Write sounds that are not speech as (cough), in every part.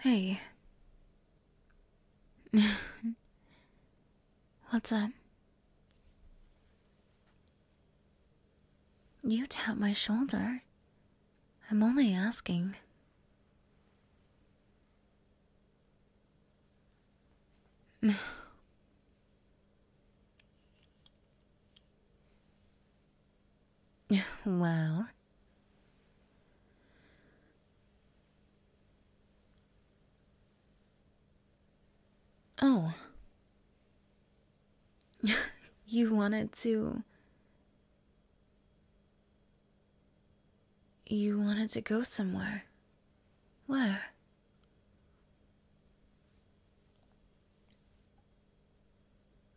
Hey. (laughs) What's up? You tap my shoulder. I'm only asking. (laughs) well. Oh. (laughs) you wanted to. You wanted to go somewhere. Where?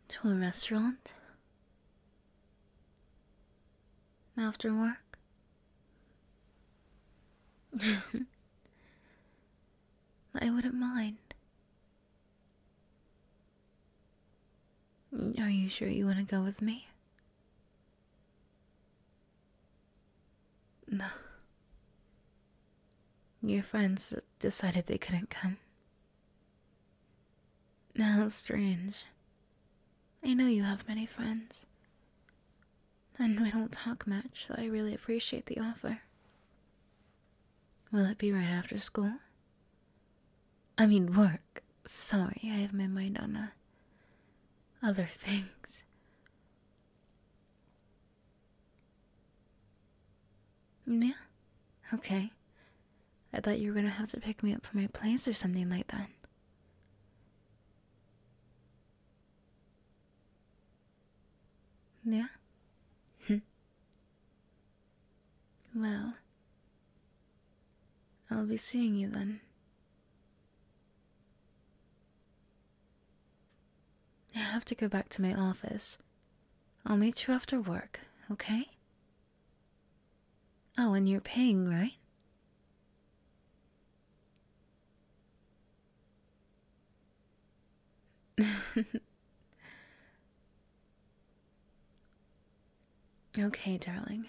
To a restaurant? After work? (laughs) I wouldn't mind. Are you sure you want to go with me? No. Your friends decided they couldn't come. Now, strange. I know you have many friends. And we don't talk much, so I really appreciate the offer. Will it be right after school? I mean, work. Sorry, I have my mind on uh, other (laughs) things. Yeah? Okay. I thought you were gonna have to pick me up from my place or something like that. Yeah? Hmm. well, I'll be seeing you then. I have to go back to my office. I'll meet you after work, okay? Oh, and you're paying, right? (laughs) okay, darling.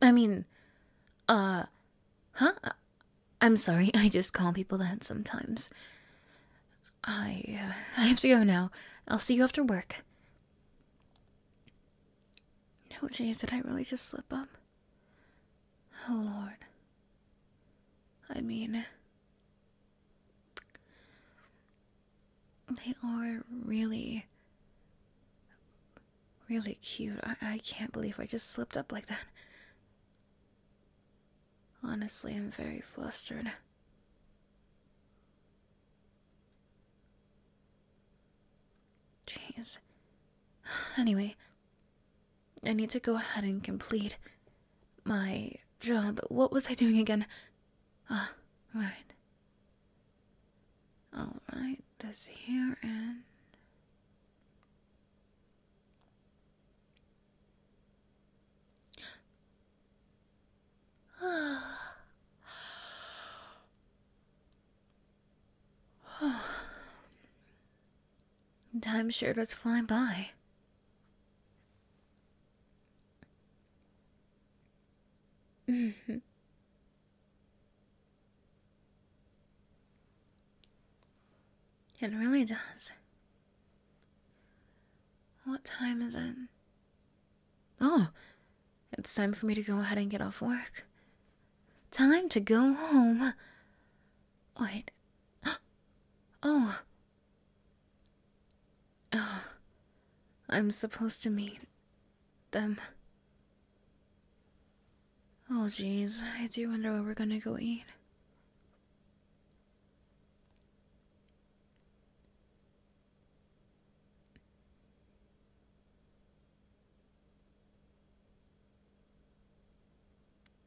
I mean, uh, huh? I'm sorry, (laughs) I just call people that sometimes. I uh, I have to go now. I'll see you after work. No, Jays, did I really just slip up? Oh, Lord. I mean, they are really, really cute. I, I can't believe I just slipped up like that. Honestly, I'm very flustered. Jeez. Anyway, I need to go ahead and complete my job. What was I doing again? Ah, right. Alright, this here and. (sighs) Time sure does fly by. (laughs) It really does. What time is it? Oh, it's time for me to go ahead and get off work. Time to go home. Wait. (gasps) Oh. Oh. I'm supposed to meet them. Oh, jeez. I do wonder where we're gonna go eat.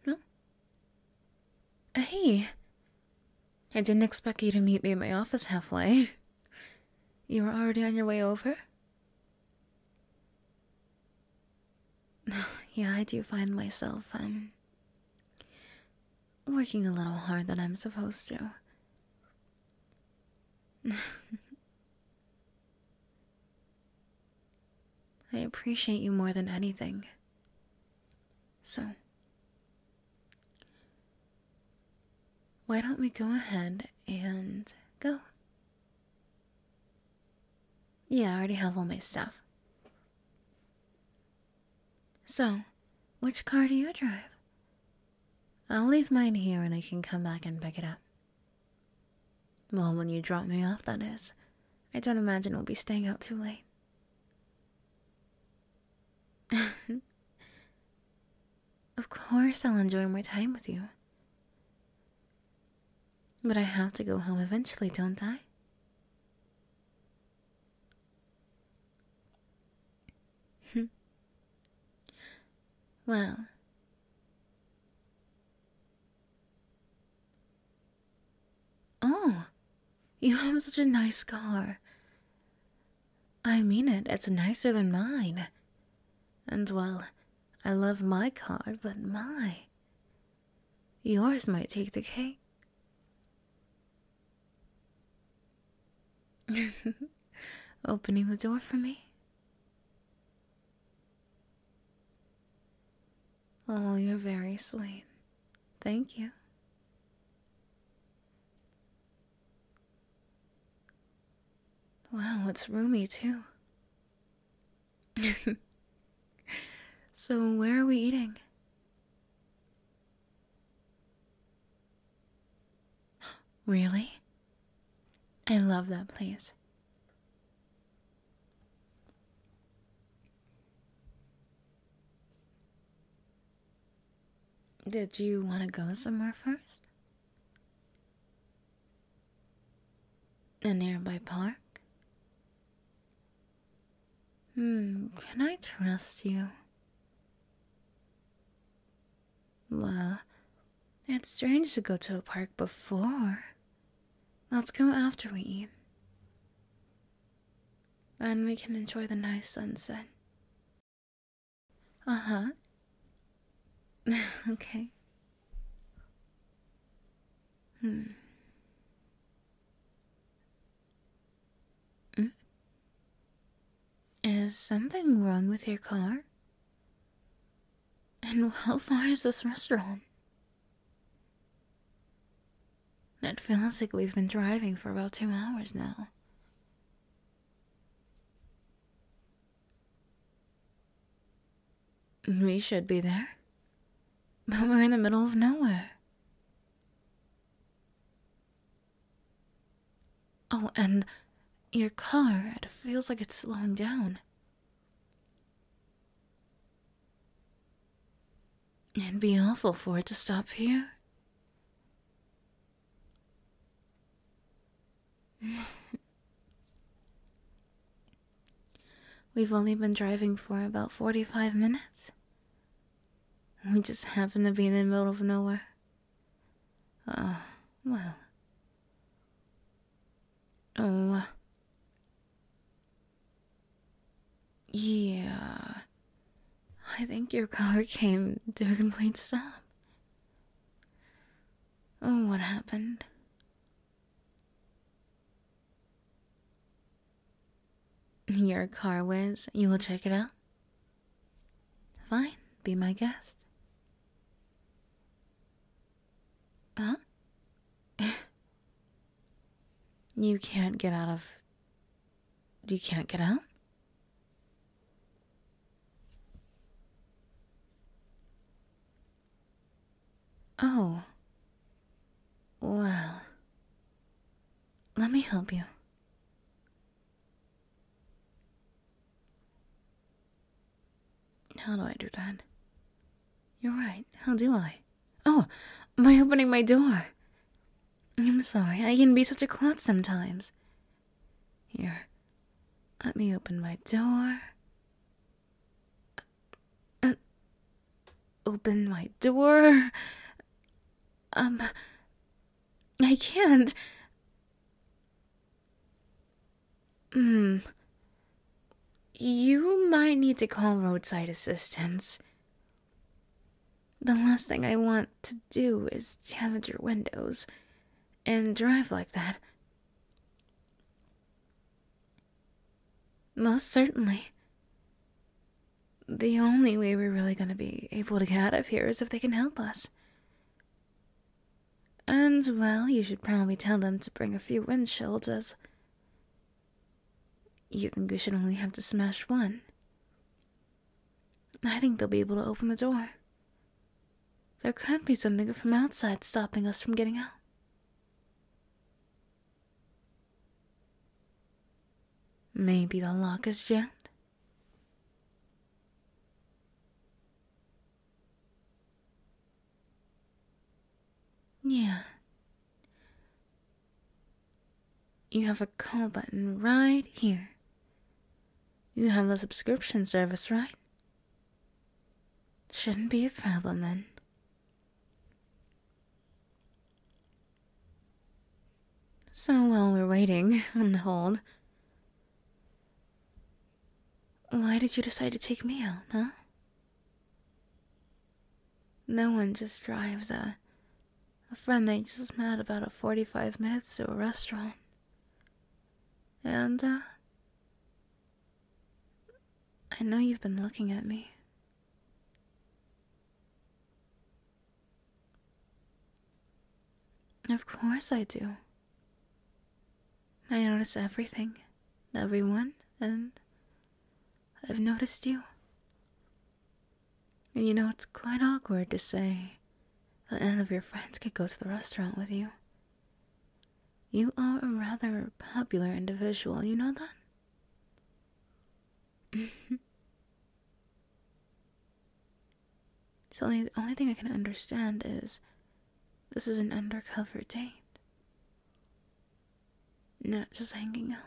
No? Uh, hey! I didn't expect you to meet me at my office halfway. You were already on your way over? (laughs) yeah, I do find myself, um, working a little harder than I'm supposed to. (laughs) I appreciate you more than anything. So, why don't we go ahead and go? Yeah, I already have all my stuff. So, which car do you drive? I'll leave mine here and I can come back and pick it up. Well, when you drop me off, that is. I don't imagine we'll be staying out too late. (laughs) of course, I'll enjoy more time with you. But I have to go home eventually, don't I? Hmm. well, oh, you have such a nice car. I mean it, it's nicer than mine. And well, I love my car, but my, Yours might take the cake. (laughs) Opening the door for me. Oh, you're very sweet. Thank you. Well, it's roomy too. (laughs) so, where are we eating? (gasps) Really? I love that place. Did you want to go somewhere first? A nearby park? Hmm, can I trust you? Well, it's strange to go to a park before. Let's go after we eat. Then we can enjoy the nice sunset. Uh huh. (laughs) okay. Hmm. Mm? Is something wrong with your car? And how far is this restaurant? It feels like we've been driving for about two hours now. We should be there. But we're in the middle of nowhere. Oh, and your car, it feels like it's slowing down. It'd be awful for it to stop here. (laughs) We've only been driving for about 45 minutes. We just happened to be in the middle of nowhere. Oh, well. Oh. yeah. I think your car (laughs) came to a complete stop. Oh, what happened? Your car whiz, you will check it out? Fine, be my guest. Huh? (laughs) you can't get out of. You can't get out? Oh, well, let me help you. How do I do that? You're right. How do I? Oh, by opening my door. I'm sorry, I can be such a klutz sometimes. Here, let me open my door. Uh, uh Open my door. Um, I can't. Hmm. You might need to call roadside assistance. The last thing I want to do is damage your windows and drive like that. Most certainly. The only way we're really going to be able to get out of here is if they can help us. And, well, you should probably tell them to bring a few windshields as. You think we should only have to smash one? I think they'll be able to open the door. There could be something from outside stopping us from getting out. Maybe the lock is jammed? Yeah. You have a call button right here. You have the subscription service, right? Shouldn't be a problem then. So while we're waiting (laughs) on hold, why did you decide to take me out, huh? No one just drives a, a friend they just met about a 45 minutes to a restaurant. And, uh, I know you've been looking at me. Of course I do. I notice everything, everyone, and I've noticed you. And you know, it's quite awkward to say that none of your friends could go to the restaurant with you. You are a rather popular individual, you know that? (laughs) so the only thing I can understand is this is an undercover date. Not just hanging out.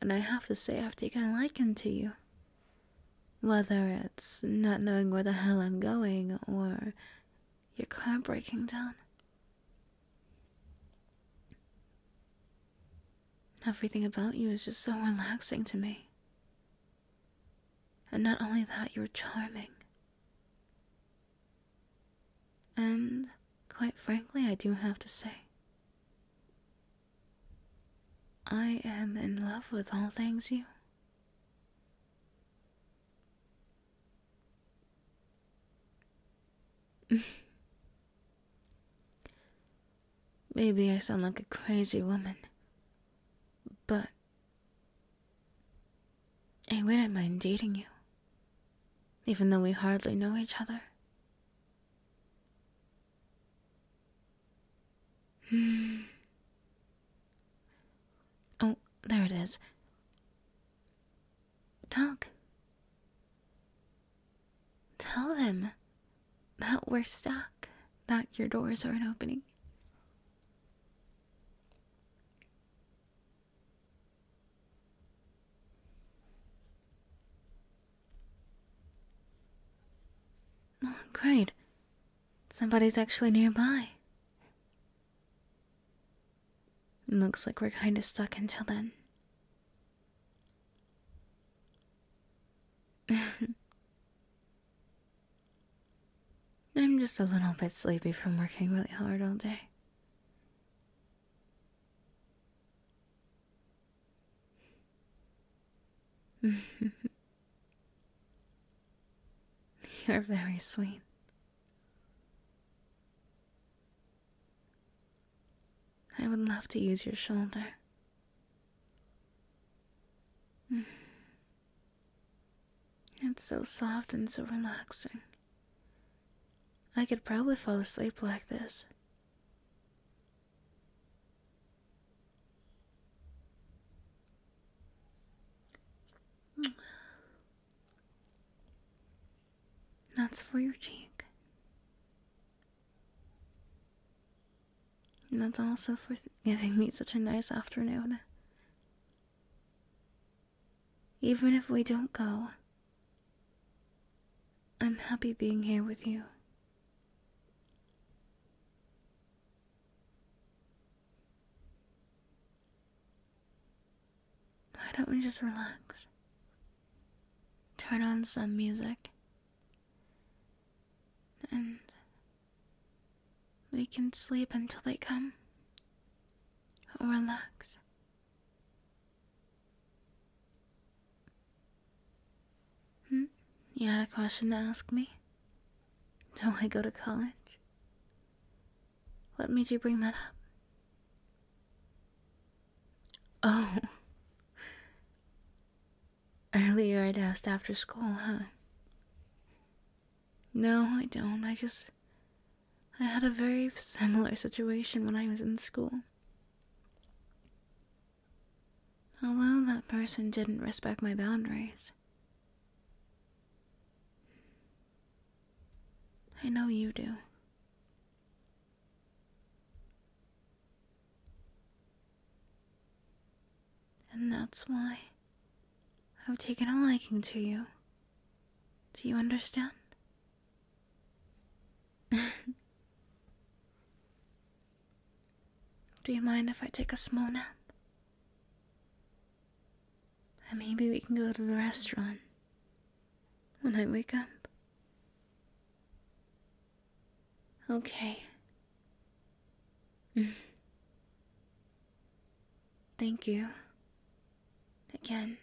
And I have to say, I've taken to you. Whether it's not knowing where the hell I'm going or your car breaking down. Everything about you is just so relaxing to me. And not only that, you're charming. And, quite frankly, I do have to say, I am in love with all things you. (laughs) Maybe I sound like a crazy woman, but I wouldn't mind dating you, even though we hardly know each other. (sighs) oh, there it is. Talk. Tell them that we're stuck, that your doors aren't opening. Oh, great. Somebody's actually nearby. Looks like we're kind of stuck until then. (laughs) I'm just a little bit sleepy from working really hard all day. (laughs) You're very sweet. I would love to use your shoulder. Mm. It's so soft and so relaxing. I could probably fall asleep like this. Mm. That's for your cheek. And that's also for (laughs) giving me such a nice afternoon. Even if we don't go, I'm happy being here with you. Why don't we just relax? Turn on some music. And we can sleep until they come. Or relax. Hmm? You had a question to ask me? Don't I go to college? What made you bring that up? Oh. (laughs) Earlier I'd asked after school, huh? No, I don't. I just. I had a very similar situation when I was in school. Although that person didn't respect my boundaries. I know you do. And that's why I've taken a liking to you. Do you understand? (laughs) Do you mind if I take a small nap? And maybe we can go to the restaurant when I wake up. Okay. Mm. Thank you. Again.